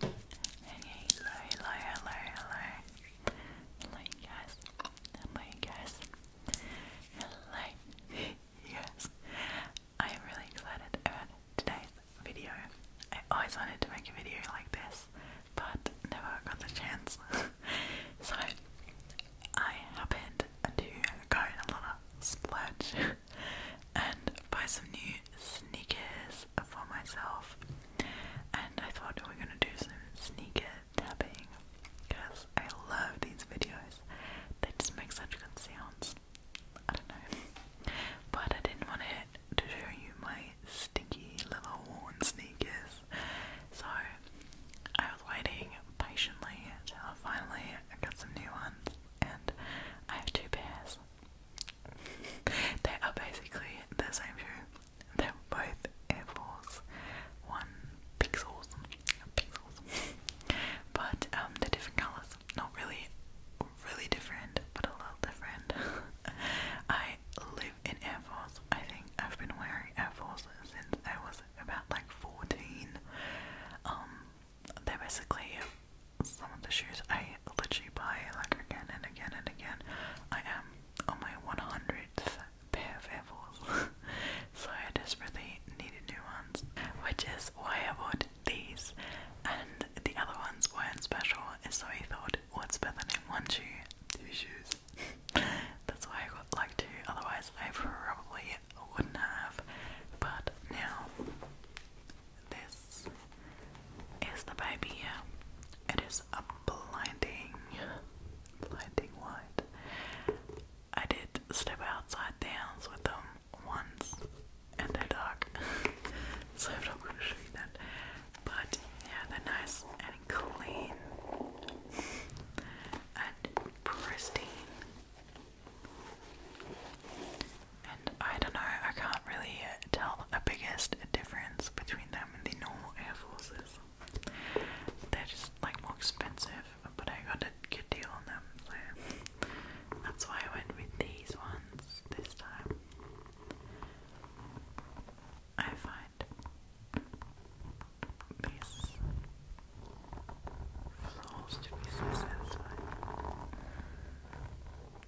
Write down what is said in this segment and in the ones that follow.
Hello, hello, hello, hello. Hello, guys. Hello, guys. Hello, you I'm really excited about today's video. I always wanted to make a video like this, but never got the chance. so, I happened to go in a lot of splurge and buy some new sneakers for myself, and I thought we we're gonna do some sneaker tapping because I love these videos. They just make such good sounds. I don't know, but I didn't want it to show you my stinky little worn sneakers, so I was waiting patiently till finally I got some new ones, and I have two pairs. they are basically the same shoe. They're both Air Force One pixels, pixels. but um, they different colours. Not really, really different, but a little different. I live in Air Force. I think I've been wearing Air Force since I was about like 14. Um, they're basically some of the shoes I literally buy like again and again and again. I am on my 100th pair of Air Force, so I desperately needed new ones, which is why I bought these. And the other ones weren't special, so I thought, what's better than one shoe, two shoes? That's why I got like two. Otherwise, I probably wouldn't have. But now this is the baby. It is a blinding, blinding white. I did step outside dance with them once and they dark. so I'm not going to show you that. But yeah, they're nice and clean and pristine and I don't know, I can't really tell the biggest difference between them and the normal Air Forces. They're just like more expensive, but I got a good deal on them, so that's why I went with these ones this time. I find these floors to be so satisfying.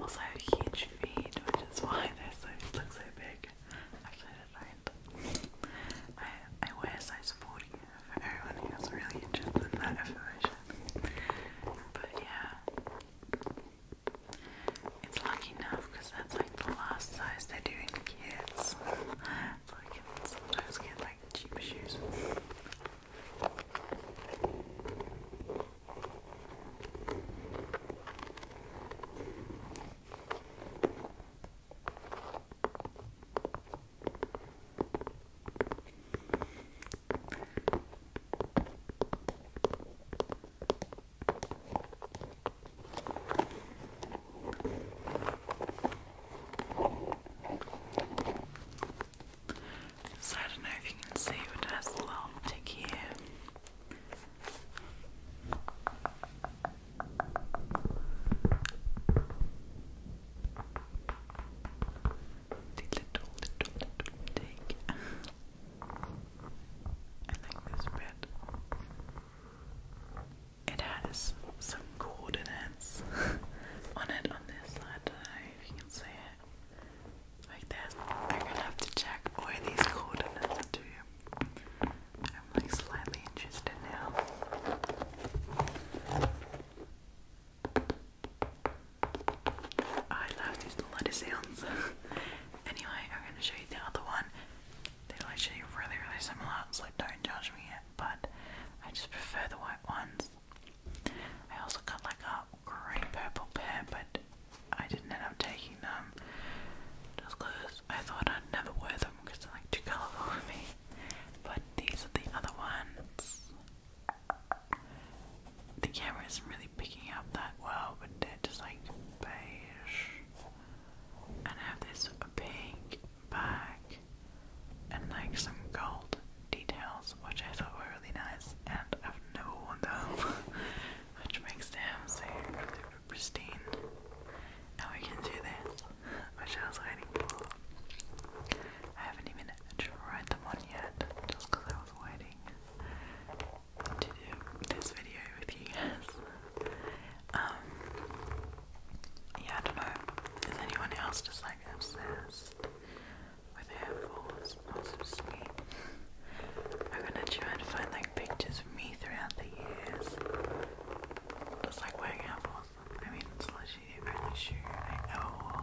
Also, a huge feed, which is why this looks so big. Actually, I did I, I wear a size 40 for everyone who's really interested in that information. But yeah, it's lucky enough because that's like the last size they're doing kids. So I can sometimes like cheap shoes. So I don't know if you can see, but it has a little tick here. The little, little, little take. I this bit. It has some coordinates on it on this side. I don't know if you can see it like this. I'm gonna have to check where these coordinates are to. I'm like slightly interested now. Oh, I love these bloody sounds. anyway, I'm gonna show you the other one. They're literally really, really similar, so don't judge me yet, but I just prefer the white ones. I also got like a green purple pair, but I didn't end up taking them just because I thought I'd never wear them because they're like too colourful for me. But these are the other ones. The camera isn't really picking up that well, but they're just like beige. And have this pink bag and like some gold details, which I thought were really nice, and I've never worn them. which makes them seem super, pristine. Now we can do this, which I was waiting for. I haven't even tried them on yet, just because I was waiting to do this video with you guys. Um, yeah, I don't know. Is anyone else just like obsessed with Air Force? I'm gonna try and find like pictures of me throughout the years. Just like wearing apples. I mean, it's literally the only shoe I ever wore.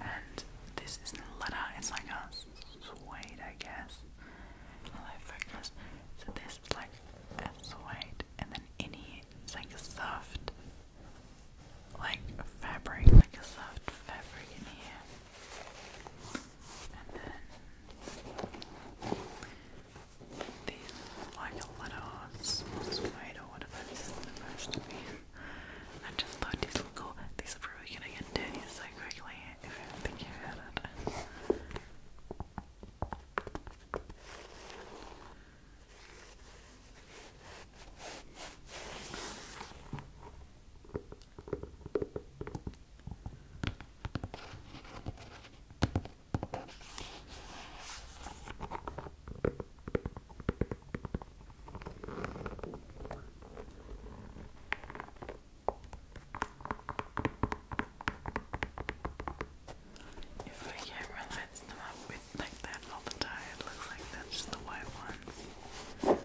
And this isn't letter. it's like a suede, I guess. like focus. So this like suede, and then in here it's like a soft, like fabric, like a soft fabric in here. And then these like a leather suede or whatever this is supposed to be. I just thought these will go, these are probably gonna get dirty so quickly if i if my camera lights them up with like that all it looks like that's the white ones.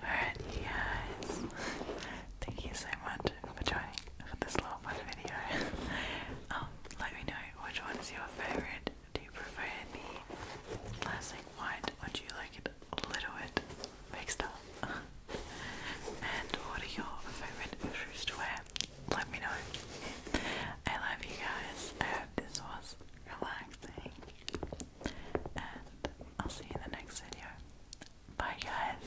Alright, you guys. Thank you so much for joining for this little fun video. Um, let me know which one is your favourite. Do you prefer the classic white or do you like it a little bit mixed up? and what are your favourite shoes to Let me know. I love you guys. I hope this was relaxing. And I'll see you in the next video. Bye guys.